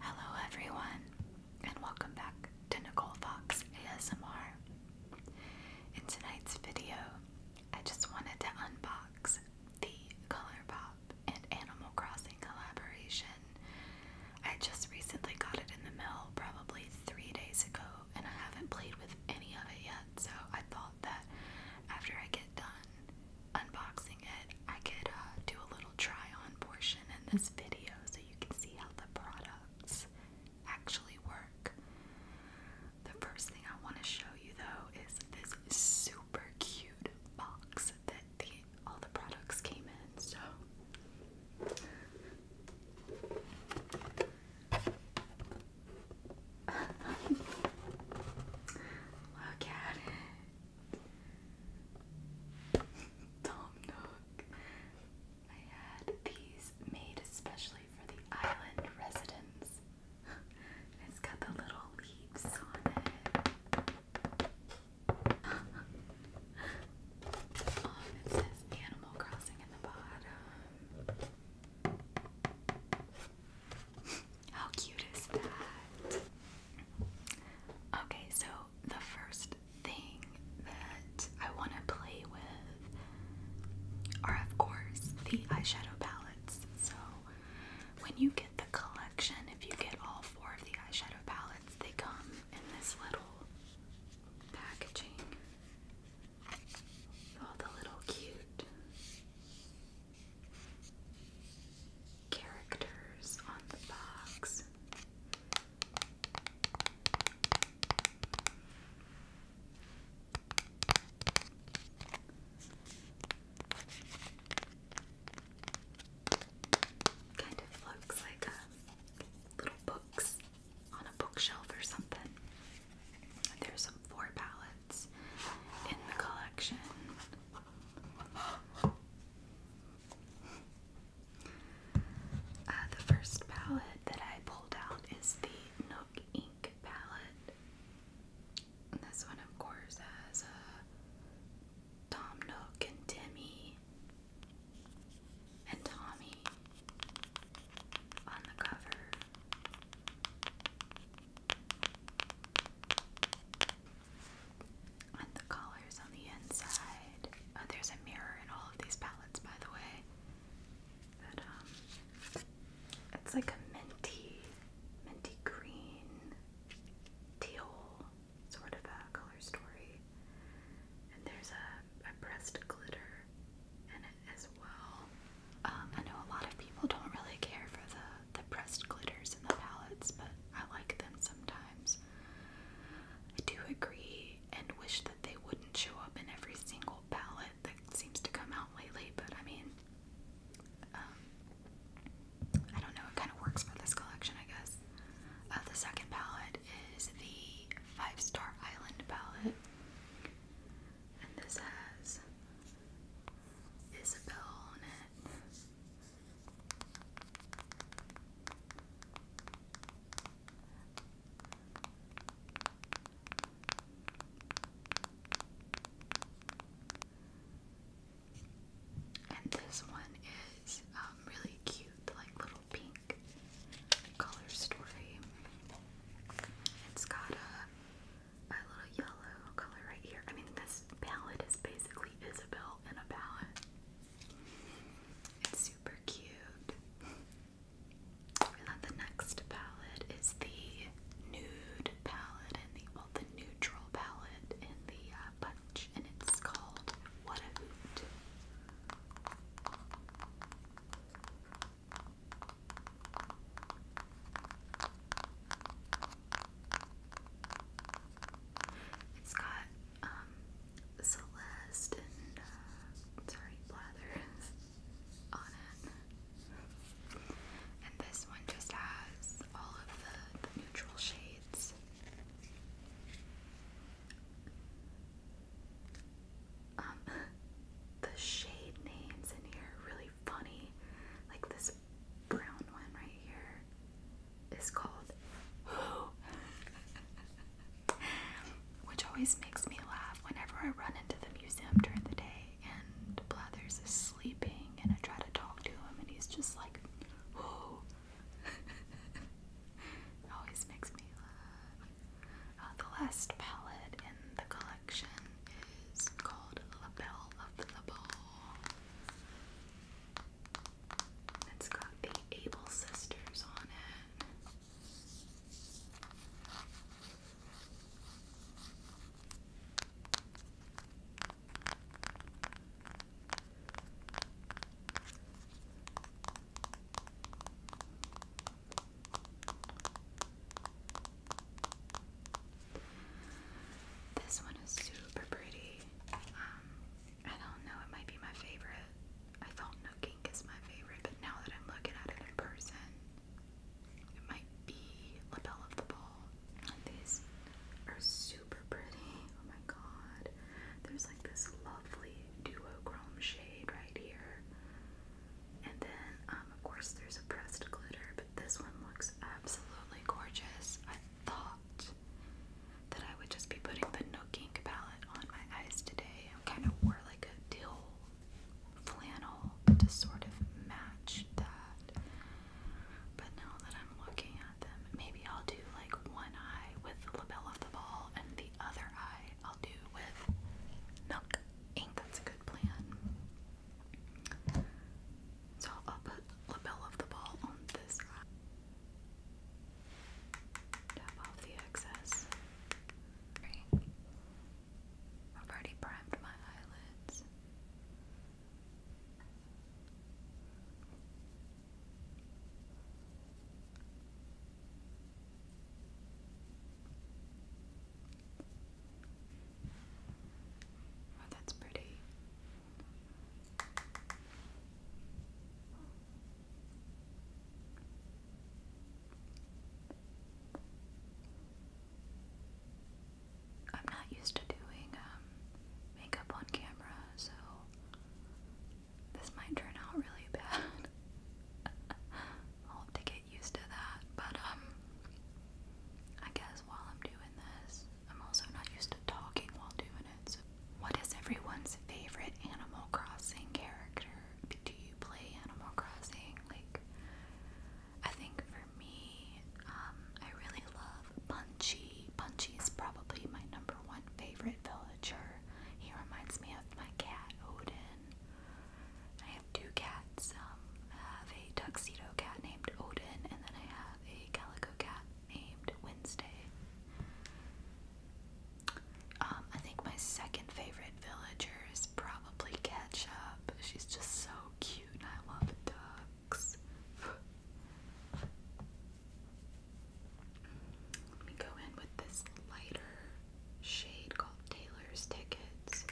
Hello, everyone, and welcome back to Nicole Fox ASMR. In tonight's video, I just wanted to unbox the ColourPop and Animal Crossing collaboration. I just recently got it in the mail, probably three days ago, and I haven't played with any of it yet, so I thought that after I get done unboxing it, I could uh, do a little try on portion in this video so you can see how the products actually work. The first thing I want to show you though is this super cute box that all the products came in. So Look at it. Tom Nook. I had these made especially for the island residents. it's got the little leaves on it. um, it says Animal Crossing in the bottom. How cute is that? Okay, so the first thing that I want to play with are, of course, the eyeshadow palettes. So, when you get the collection, if you get all four of the eyeshadow palettes, they come in this little packaging all the little cute characters on the box. Kind of looks like little books on a bookshelf or something. There's four palettes in the collection. Uh, the first palette that I pulled out is the Nook Ink palette. this one, of course, has uh, Tom Nook and Timmy and Tommy on the cover. And the colors on the inside. Oh, there's a mirror in all of these palettes, by the way. Um, it's like a minty, minty green, teal sort of a color story. And there's a, a glitter in it as well. Um, I know a lot of people don't really care for the the pressed glitters in the palettes, but I like them sometimes. I do agree and wish that they wouldn't show up in every single palette that seems to come out lately, but I mean, um, I don't know, it kind of works for this collection, I guess. Uh, the second palette is the Five Star Island palette, and this has Isabelle on it. And this one is um, really cute, like little pink color story. It's got a, a little yellow color right here. I mean, this palette is basically basically Isabel in a palette. It's super cute. And then the next palette is the nude palette and the well the neutral palette in the uh, and it's called What a Hoot. It's got um Celeste and uh, sorry Blathers on it. And this one just has all of the, neutral shades. Um, the shade names in here really funny. Like this brown one right here is called Who, which always makes me laugh whenever I run into the museum during the day and Blathers is sleeping and I try to talk to him and he's just like, Who? always makes me laugh. Uh, the last palette in the collection is called Label of the Ball. It's got the Able Sisters on it. This one is super pretty. Um, I don't know, it might be my favorite. I thought no is my favorite, but now that I'm looking at it in person, it might be lapel of the ball. these are super pretty. Oh my god. There's like this lovely duochrome shade right here. And then, um, of course, there's a pressed glitter, this one looks absolutely gorgeous. I thought that I would just be putting the Nook Ink palette on my eyes today. I kind of wore like a teal flannel to sort of match that. But now that I'm looking at them, maybe I'll do like one eye with the lapel of the ball and the other eye I'll do with Nook Ink. That's a good plan. So I'll put lapel of the ball on this Tap off the excess. Great. I've already primed my eyelids. Oh, that's pretty. I'm not used to doing um, makeup on camera, so this might turn out really bad. I'll have to get used to that, but um, I guess while I'm doing this, I'm also not used to talking while doing it. So. What is everyone's favorite Animal Crossing character? Do you play Animal Crossing? Like, I think for me, um, I really love Punchy. Punchy is probably my number one favorite villager. He reminds me of my cat Odin. I have two cats. Um, I have a tuxedo cat named Odin, and then I have a calico cat named Wednesday. Um, I think my second favorite villager is probably Ketchup. She's just so cute and I love ducks. Let me go in with this lighter shade called Taylor's Tickets.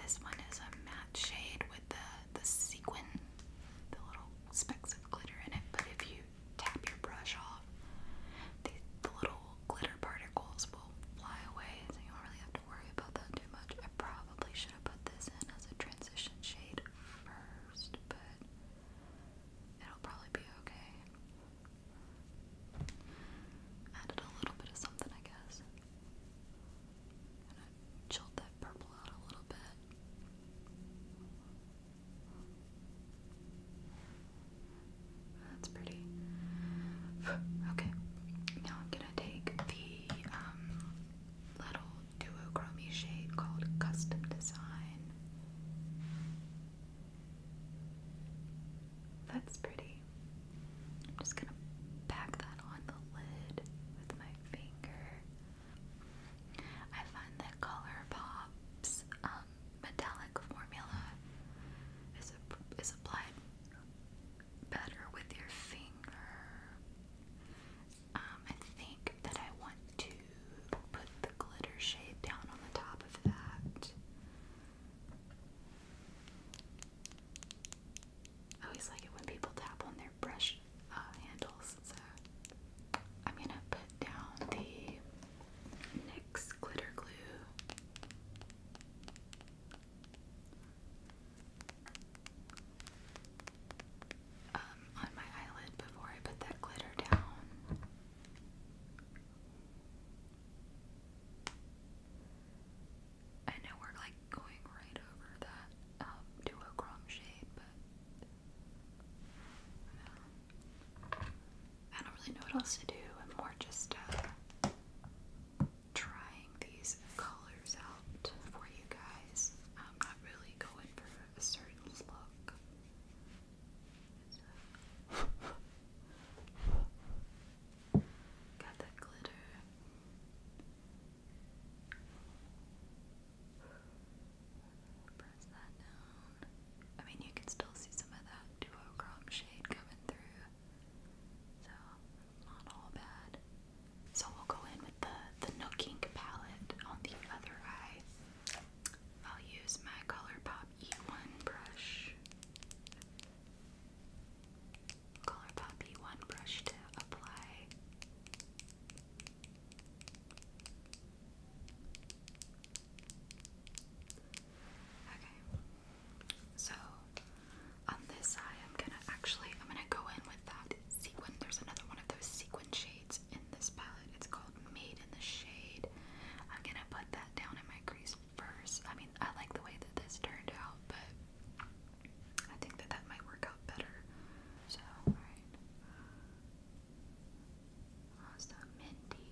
This one is a matte shade the, the sequin, the little specks of glitter in it, but if you tap your brush off, the, the little glitter particles will fly away, so you don't really have to worry about that too much. I probably should have put this in as a transition shade first, but it'll probably be okay. Added a little bit of something, I guess chill that purple out a little bit. That's pretty. okay, now I'm gonna take the um, little duochrome shade called Custom Design. That's pretty. I'm just gonna pack that on the lid with my finger. I find that Color Pop's um, metallic formula is, is applied better with your finger. Um, I think that I want to put the glitter shade down on the top of that. I always like it when people tap on their brush uh, handles. So I'm gonna put down the NYX glitter glue. Um, on my eyelid before I put that glitter down. I know we're like going right over that um, duochrome shade, but I don't really know what else to do. I'm more just uh, trying these colors out for you guys. I'm not really going for a certain look. Got that glitter. I mean, you can still see some of that duochrome shade coming through, so not all bad. So we'll go in with the the Nook Ink palette on the other eye. I'll use my colour pop E1 brush. Color Poppy one brush to apply. Okay. So on this side I'm gonna actually I'm gonna go in with that sequin. There's another one of those sequin shades in this palette. It's called Made in the Shade. I'm gonna put that down in my crease first. I mean I like the way that this turned out, but I think that that might work out better. So, alright. Awesome, Mindy.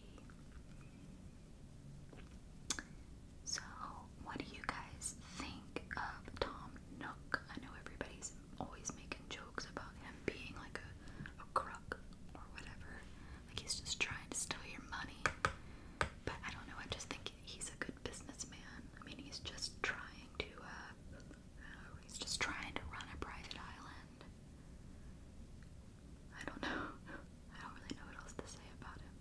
So, what do you guys think of Tom Nook? I know everybody's always making jokes about him being like a, a crook or whatever. Like he's just trying to steal your money. But I don't know, I just think he's a good businessman. I mean, he's just trying to, uh, uh, he's just trying to run a private island. I don't know. I don't really know what else to say about him.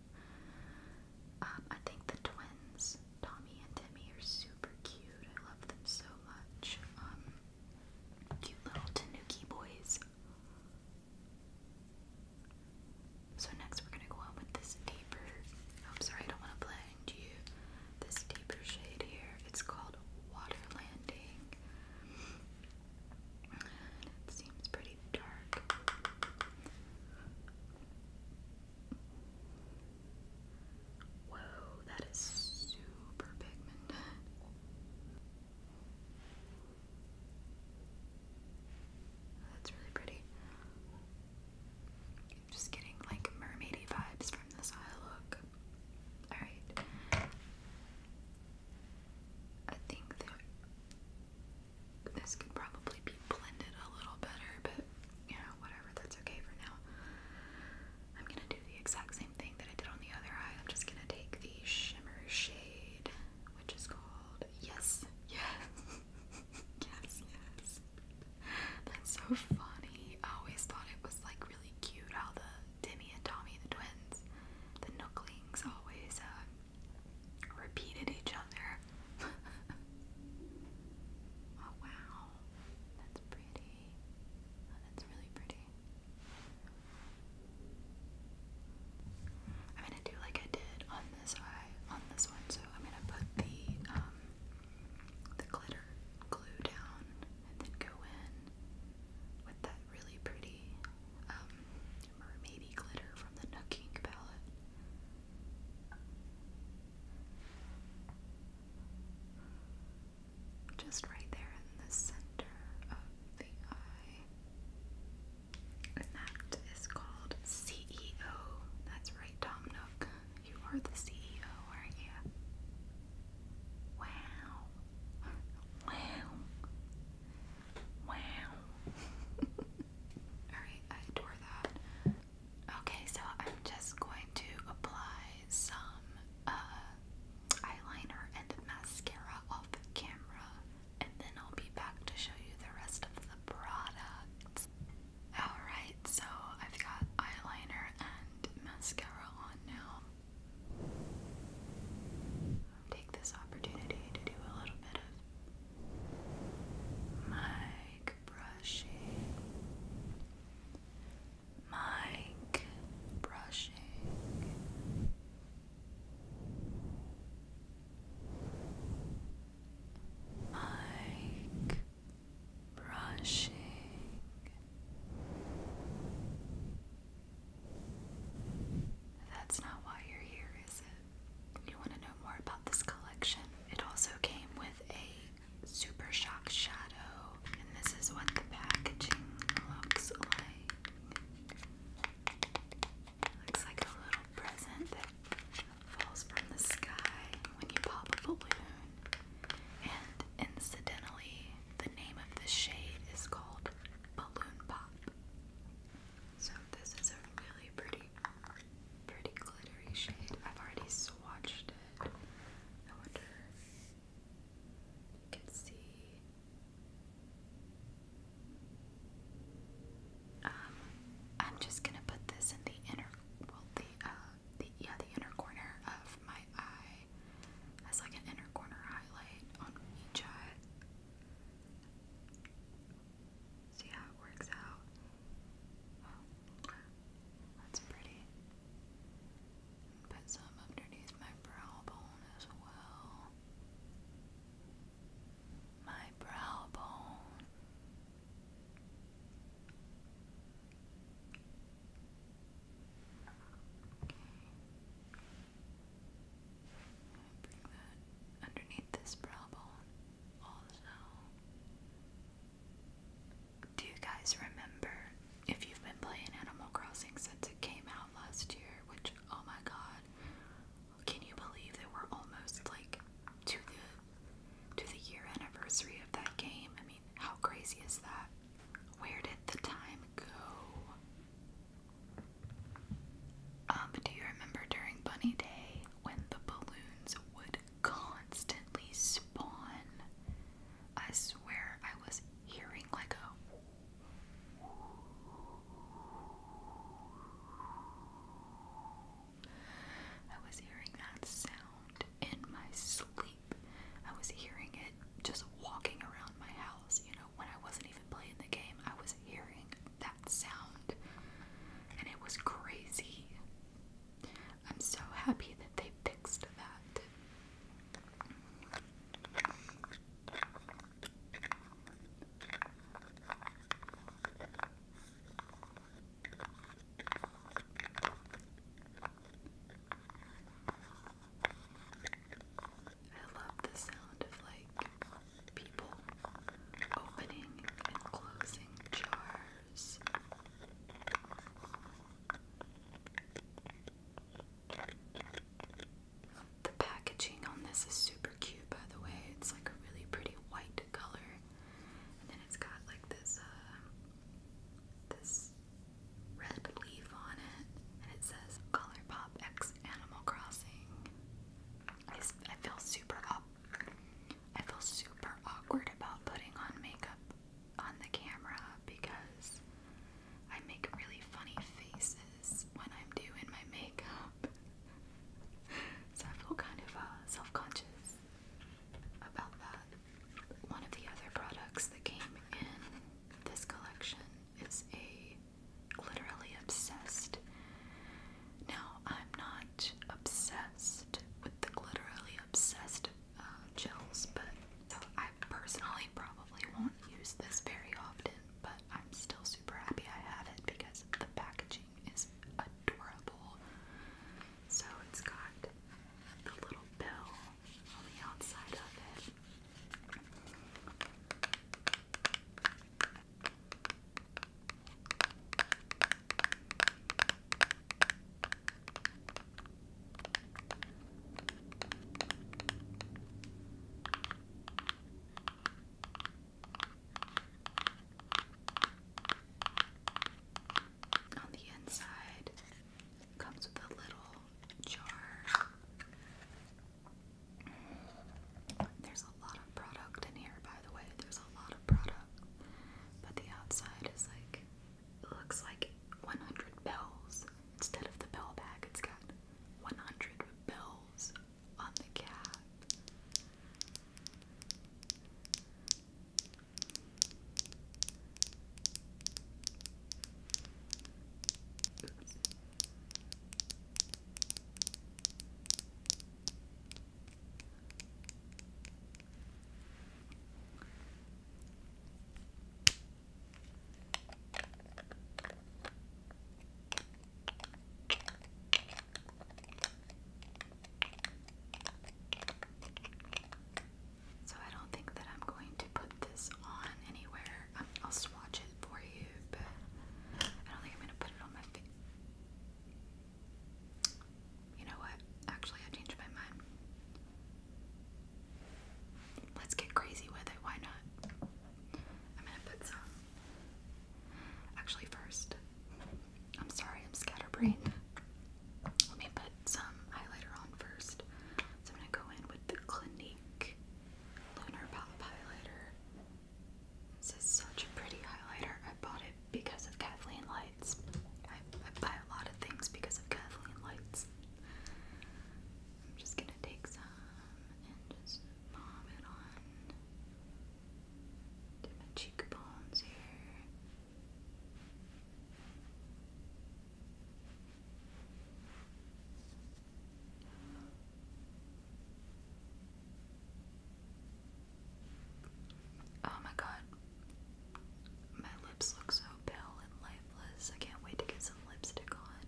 Um, I think the twins, Tommy and Timmy, are super cute. I love them so much. Um, cute little tanuki boys. So next we're gonna go on with this deeper. I'm sorry, I don't want to blend you. This deeper shade here. It's called Water Landing. it seems pretty dark. Whoa, that is super pigmented. That's really pretty. I'm just getting like mermaidy vibes from this eye look. Alright. I think this could probably be blended a little better, but you know, whatever, that's okay for now. I'm gonna do the exact same thing that I did on the other eye. I'm just gonna take the shimmer shade, which is called Yes, yes, yes, yes. That's so funny. I always thought it was like really cute how the Timmy and Tommy, the twins, the Nooklings, always uh, repeated each other. oh wow, that's pretty. that's really pretty. I'm gonna do like I did on this eye, uh, on this one, so I'm gonna put the um, the glitter glue down and then go in with that really pretty um, mermaidy glitter from the Nook Ink palette. Just right there in the center of the eye. And that is called CEO. That's right, Tom Nook. You are the CEO, aren't you? Wow. Wow. Wow. Alright, I adore that. Okay, so I'm just going to apply some uh, eyeliner and mascara off camera, and then I'll be back to show you the rest of the product. Alright, so I've got eyeliner and mascara on now. Take this opportunity to do a little bit of mic brushing. Mic brushing like brushing. That's not why you're here, is it? You want to know more about this collection? It also came with a Super Shock Shadow, and this is what the packaging looks like. Looks like a little present falls from the sky when you pop a balloon. And incidentally, the name of this shade is called Balloon Pop. So this is a really pretty, pretty glittery shade. I've already swatched it. I wonder if you can see. Um, I'm just gonna put this in the inner, well, the uh, the yeah, the inner corner of my eye as like an inner corner highlight on each eye. See how it works out. Oh, that's pretty. Put some underneath my brow bone as well my brow bone. Okay. Bring that underneath this brow bone also. Do you guys remember if you've been playing Animal Crossing since it came out last year? Which, oh my god, can you believe that we're almost like to the to the year anniversary of that game? I mean, how crazy is that? Where did the time go? Um, do you remember during Bunny Day when the balloons would constantly spawn? I swear I was hearing like a I was hearing that sound in my sleep. I was hearing it just walking around my house, you know, when I wasn't even playing the game. I was hearing that sound. And it was crazy. I'm so happy that they fixed that. I love the sound of like people opening and closing jars. The packaging on this is super cute by the way. It's like a really pretty white color, and then it's got like this uh, this red leaf on it, and it says "Color X Animal Crossing." I feel super up. I feel super awkward about putting on makeup on the camera because I make really funny faces when I'm doing my makeup. so I feel kind of uh, self conscious about that. One of the other products that came in this collection is a literally obsessed. Now, I'm not obsessed with the literally obsessed uh, gels, but so I personally probably won't use this very often, but I'm still super happy I have it because of the packaging packaging is adorable. So it's got the little bell on the outside of it. On the inside, comes with a little jar. There's a lot of product in here, by the way. There's a lot of product. But the outside is like, looks like 100 bells. Instead of the bell bag, it's got 100 bells on the cap. So I don't think that I'm going to put this on anywhere. Um, I'll swatch it for you, but I don't think I'm going to put it on my face. You know what? Actually, I changed my mind. Let's get crazy with it. Why not? I'm going to put some Actually, first, I'm sorry, I'm scatterbrained. Let me put some highlighter on first. So I'm gonna go in with the Clinique Lunar Pop Highlighter. This is such a pretty highlighter. I bought it because of Kathleen Lights. I, buy a lot of things because of Kathleen Lights. I'm just gonna take some and just palm it on to my cheekbones here. Oh my god. My lips look so pale and lifeless. I can't wait to get some lipstick on.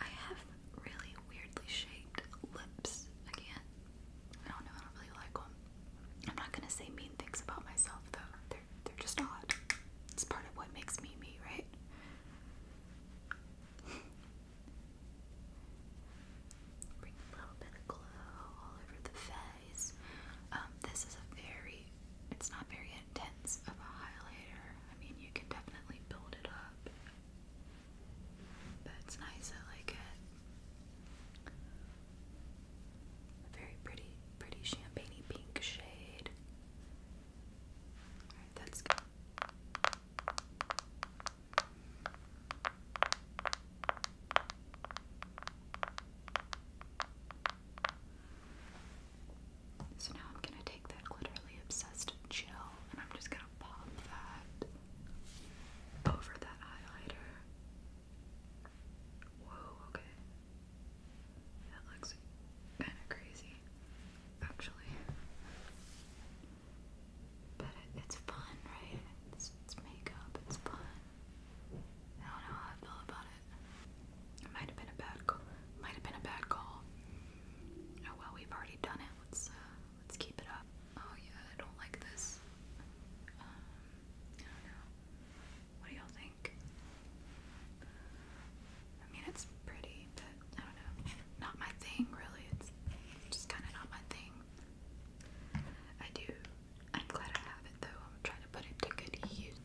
I have really weirdly shaped lips again. I don't know, I don't really like them. I'm not gonna say mean things about myself though. They're they're just odd. It's part of what makes me me, right? Bring a little bit of glow all over the face. Um, this is a very, it's not very intense of a highlighter. I mean, you can definitely build it up. That's nice, I like it. very pretty, pretty champagne pink shade. Alright, that's good. So now I'm going to take that glitterly obsessed gel and I'm just going to pop that over that highlighter. Whoa, okay. That looks kind of crazy, actually. But it's fun, right? It's, makeup, it's fun. I don't know how I feel about it. It might have been a bad call. Might have been a bad call. Oh well, we've already done it. Let's uh, Let's keep it up. Oh yeah, I don't like this. Um, I don't know. What do y'all think? I mean, it's pretty, but I don't know. Not my thing, really. It's just kind of not my thing. I do. I'm glad I have it, though. I'm trying to put it to good use.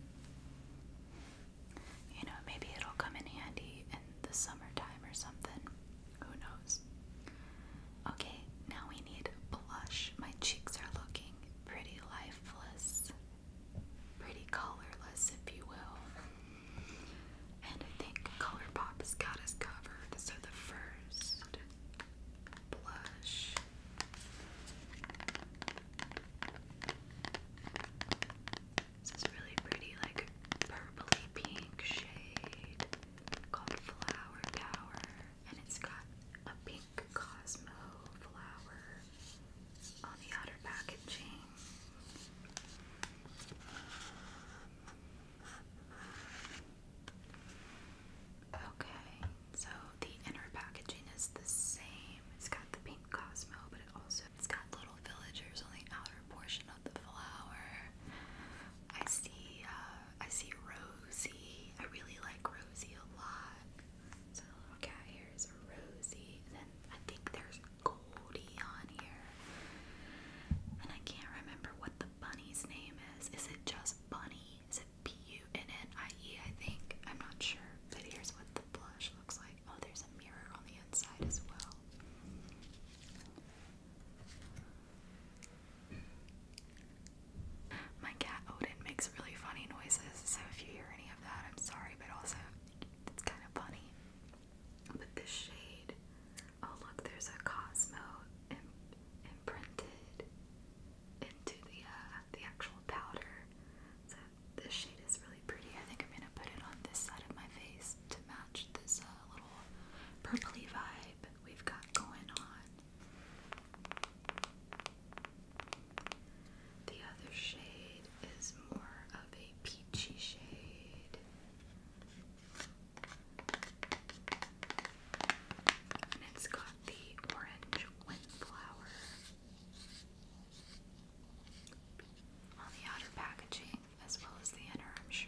You know, maybe it'll come in handy in the summertime or something. Who knows? Okay, now we need blush. My cheeks are looking pretty lifeless, pretty colorless, if you will. And I think ColourPop has got us covered. So the first blush. This is really pretty, like purpley pink shade called Flower Tower, and it's got a pink cosmos flower on the outer packaging. Okay, so the inner packaging is the same. It's got the pink cosmos, but it also it's got little villagers on the outer portion of the flower. I see, uh, I see Rosie. I really like Rosie a lot. So the little cat here is a Rosie. And then I think there's Goldie on here. And I can't remember what the bunny's name is. Is it just Bunny? Is it B-U-N-N-I-E, I think? I'm not sure. But here's what the blush looks like. Oh, there's a mirror on the inside as well. My cat Odin makes really funny noises, so if you hear any of that, I'm sorry, but also it's kind of funny. But this shade, oh look, there's a Cosmo imprinted into the uh, the actual powder. So this shade is really pretty. I think I'm gonna put it on this side of my face to match this uh, little purpley vibe we've got going on. The other shade is more of a peachy shade. And it's got the orange windflower on the outer packaging as well as the inner, I'm sure.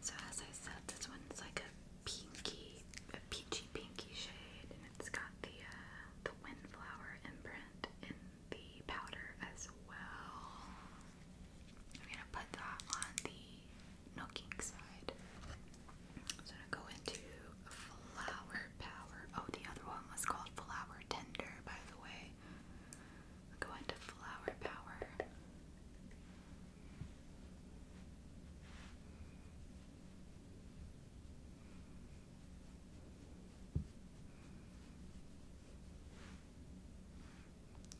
So as I said, this one's like a pinky, a peachy pinky shade, and it's got the uh, the windflower imprint in the powder as well. I'm gonna put that on the nooking side. I'm gonna go into flower power. Oh, the other one was called flower tender, by the way. Go into flower power.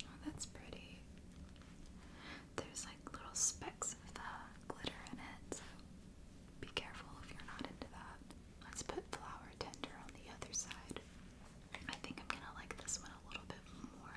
Oh, that's pretty. There's like little specks of the glitter in it, so be careful if you're not into that. Let's put flower tender on the other side. I think I'm gonna like this one a little bit more.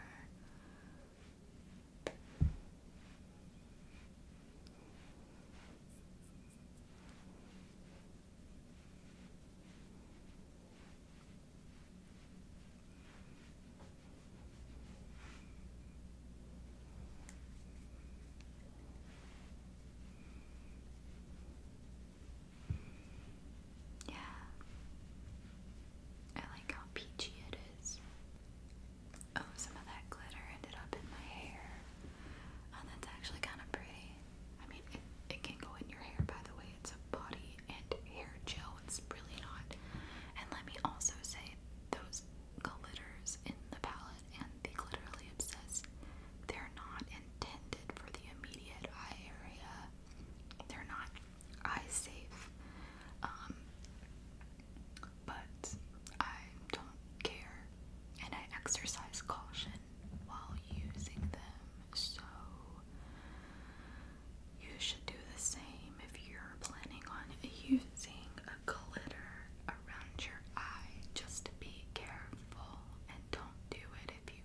Yeah. I like how peachy it is. Oh, some of that glitter ended up in my hair. Oh, that's actually kind of pretty. I mean, it, can go in your hair, by the way. It's a body and hair gel. It's really not. And let me also say, those glitters in the palette and the glitterly obsessed, they're not intended for the immediate eye area they're not eye safe. Um, but I don't care, and I exercise caution while using them. So you should do the same if you're planning on using a glitter around your eye. Just be careful and don't do it if you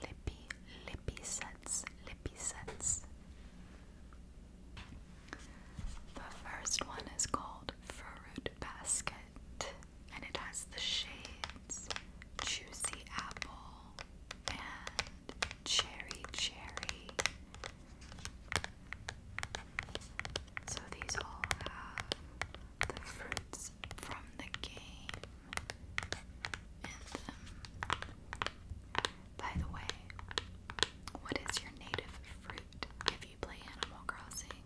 lippy, lippy sets, lippy sets. The first one is called Fruit Basket, and it has the shades Juicy Apple and Cherry Cherry. So these all have the fruits from the game by the way, what is your native fruit if you play Animal Crossing?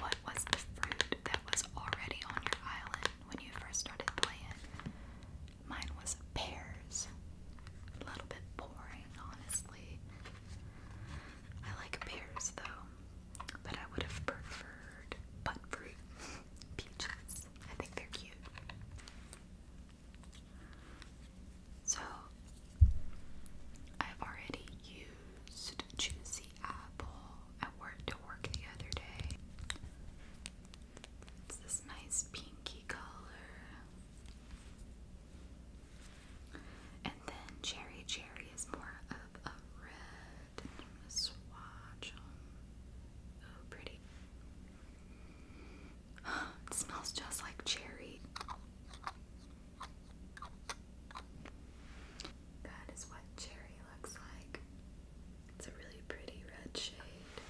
What was the fruit that was already on your island when you first started playing? Mine was pears. A little bit boring, honestly. I like pears though, but I would have preferred butt fruit. peaches. I think they're cute. So, I've already used Juicy Apple at work to work the other day. It's this nice pinky color. And then Cherry Cherry is more of a red swatch on. Oh, pretty. it smells just like cherry. That is what cherry looks like. It's a really pretty red shade.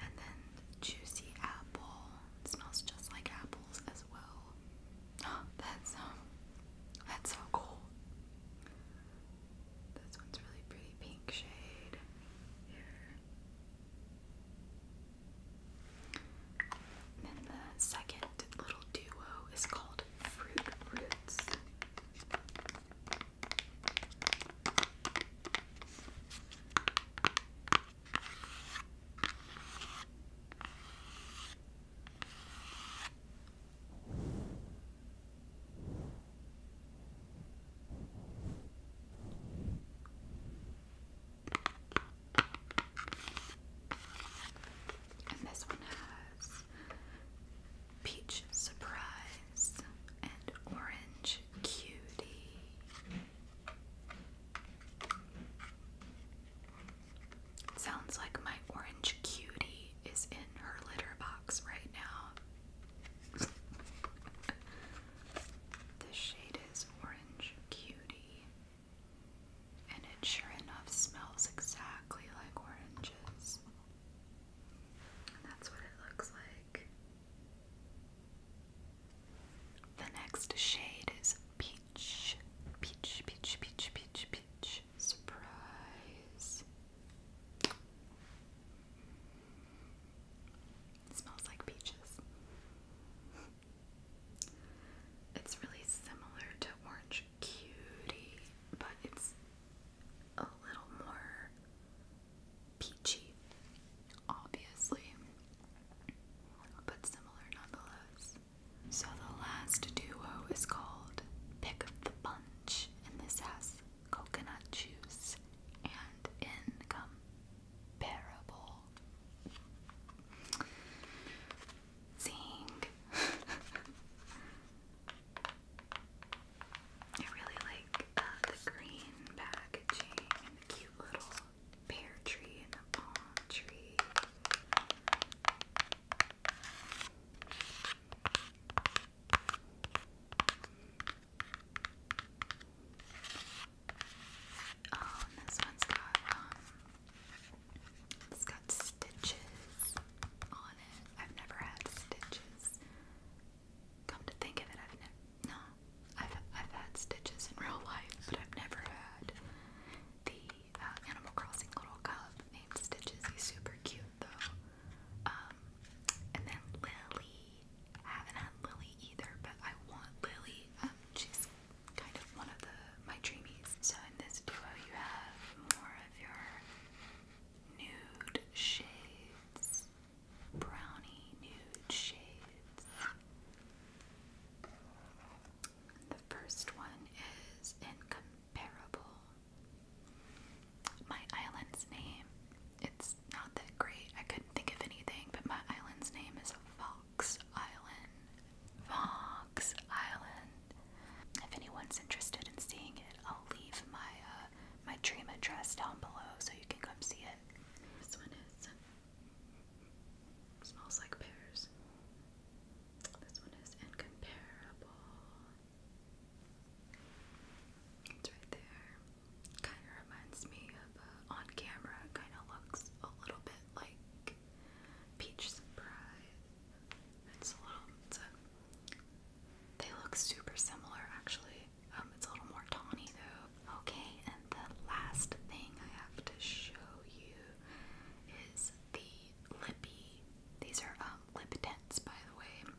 And then juicy apple. It smells just like apples as well. that's um, that's so cool. This one's really pretty pink shade here. then the second little duo is called Fruit Roots. And this one has peach surprise and orange cutie. Sounds like my orange cutie is in her litter box right now the shade is Orange Cutie, and it sure enough smells exactly like oranges. And that's what it looks like. The next shade is Peach. Peach, peach, peach, peach, peach. Surprise smells like peaches. It's really similar to Orange Cutie, but it's a little more peachy, obviously, but similar nonetheless. So the last duo is called Pick of the Bunch, in this house coconut juice, and incomparable. Zing! I really like uh, the green packaging and the cute little pear tree and the palm tree. Oh, this one's got um, it's got stitches on it. I've never had stitches. Come to think of it, I've never. No, I've I've had stitches in real life, but I've never had the uh, Animal Crossing little cub named Stitches. He's super cute though. Um, and then Lily. I haven't had Lily either, but I want Lily. Um, she's kind of one of my dreamies. So in this duo, you have more of your nude shades, brownie nude shades. The first one is in parable. My island's name, it's not that great. I couldn't think of anything, but my island's name is Fox Island. Fox Island. If anyone's interested in seeing it, I'll leave my uh, my dream address down below so you can come see it. This one is smells like pears. This one is incomparable. It's right there. Kind of reminds me of uh, on camera. Kind of looks a little bit like peach surprise. It's a little. It's a, they look super similar, actually. Um, it's a little more tawny though. Okay, and the last thing I have to show you is the lippy. These are um, lip tints, by the way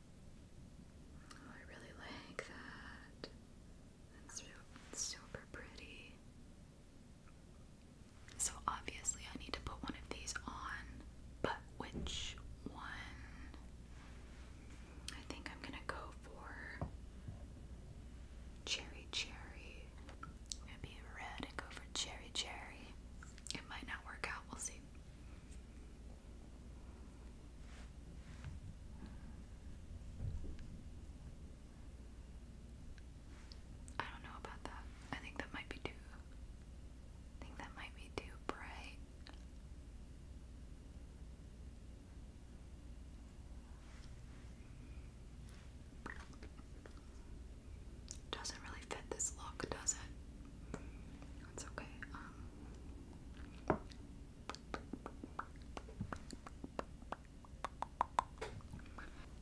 Oh, I really like that. That's super pretty. So obviously I need to put one of these on, but which one? I think I'm gonna go for cherry cherry. i red and go for cherry cherry. It might not work out, we'll see. I don't know about that. I think that might be too. I think that might be too bright. Doesn't really does it? Um.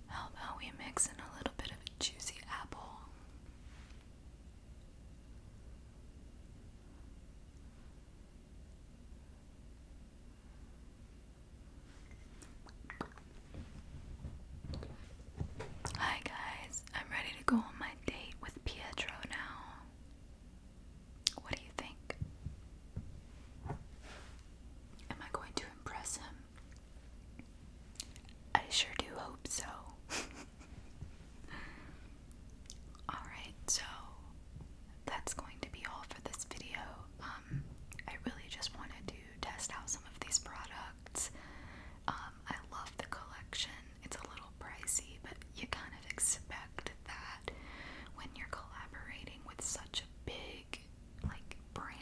how about we mix in a little bit of juicy apple? Hi guys, I'm ready to go on my date with Pietro now. What do you think? Am I going to impress him? I sure do hope so. Alright, so that's going to be all for this video. Um, I really just wanted to test out some of these products. Um, I love the collection. It's a little pricey, but you kind of expect that when you're collaborating with such a big like brand.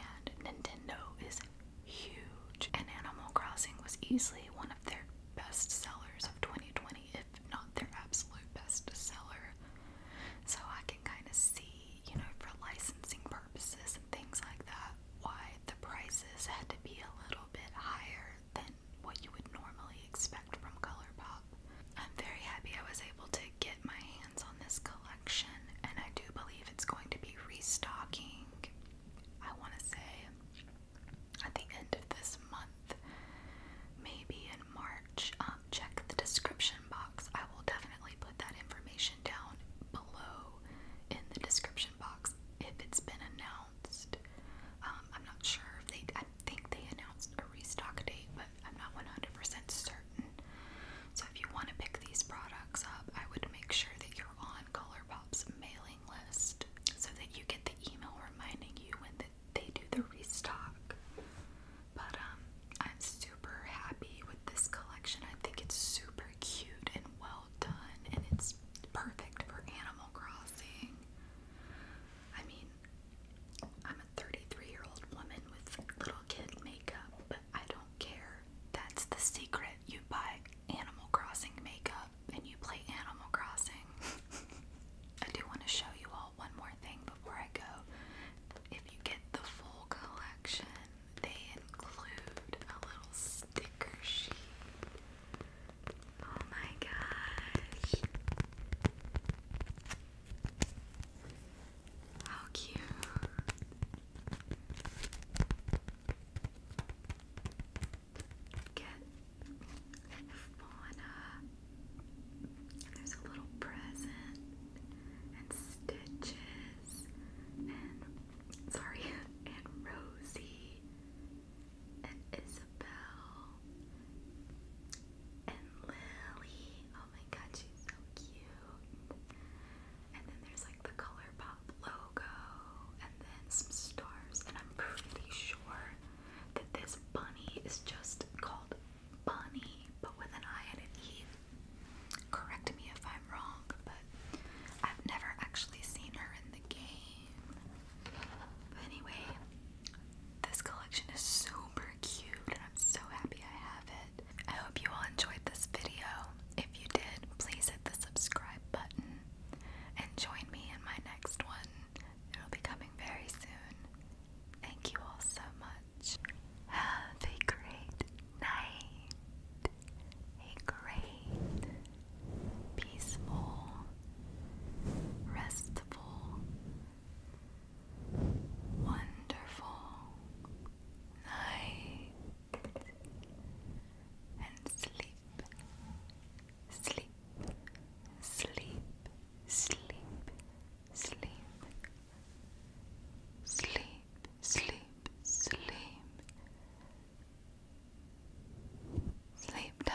Nintendo is huge, and Animal Crossing was easily one of their best sellers of 2020, if not their absolute best seller. So I can kind of see, you know, for licensing purposes and things like that, why the prices had to be a little bit higher than what you would normally expect from ColourPop. I'm very happy I was able to get my hands on this collection, and I do believe it's going to be restocking. I want to say at the end of this month, maybe in March. Um, check the description box. I will definitely put that information down below in the description box if it's been announced um, I'm not sure if they. I think they announced a restock date, but I'm not 100% certain. So if you want to pick these products up, I would make sure that you're on ColourPop's mailing list so that you get the email reminding you when they do the restock. But um, I'm super happy with this collection. I think it's super cute and well done and it's perfect for Animal Crossing. I mean, I'm a 33 year old woman with little kid makeup, but I don't care. That's the secret. You buy Animal Crossing makeup and you play Animal Crossing. I do want to show you all one more thing before I go. If you get the full collection, they include a little sticker sheet Oh my gosh. How cute. Get fauna. There's a little present and stitches and sorry and Rosie and Isabel and Lily. Oh my god, she's so cute. And then there's like the ColourPop logo and then some stars. And I'm pretty sure that this bunny is just called Bunny, but with an I and an E. Correct me if i wrong, but I've never actually seen her in the game. But anyway, this collection is super cute and I'm so happy I have it. I hope you all enjoyed this video. If you did, please hit the subscribe button and join me in my next one. It'll be coming very soon. Thank you all so much. Have a great night a great, peaceful, restful, wonderful night and sleep, sleep, sleep, sleep, sleep. Sleep, sleep, sleep. Sleep time.